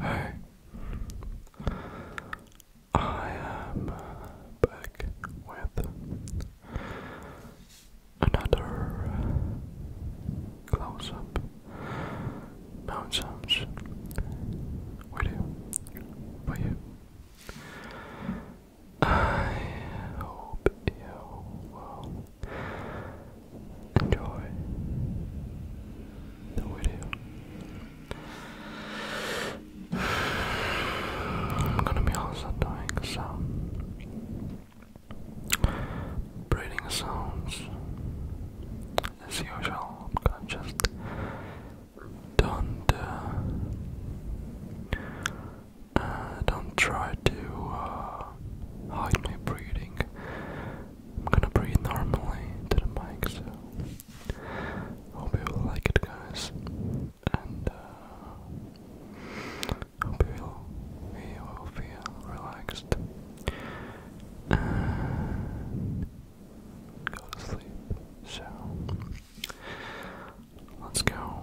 Hey, I am back with another uh, close up nonsense video for you. I hope you will enjoy the video. I'm gonna be also doing some breathing sounds as usual. just don't uh, don't try to uh, hide my breathing. I'm gonna breathe normally to the mic, so hope you will like it, guys. And uh, hope you will, you will feel relaxed and go to sleep. So let's go.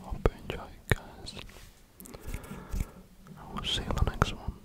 Hope you enjoy guys. I will see you in the next one.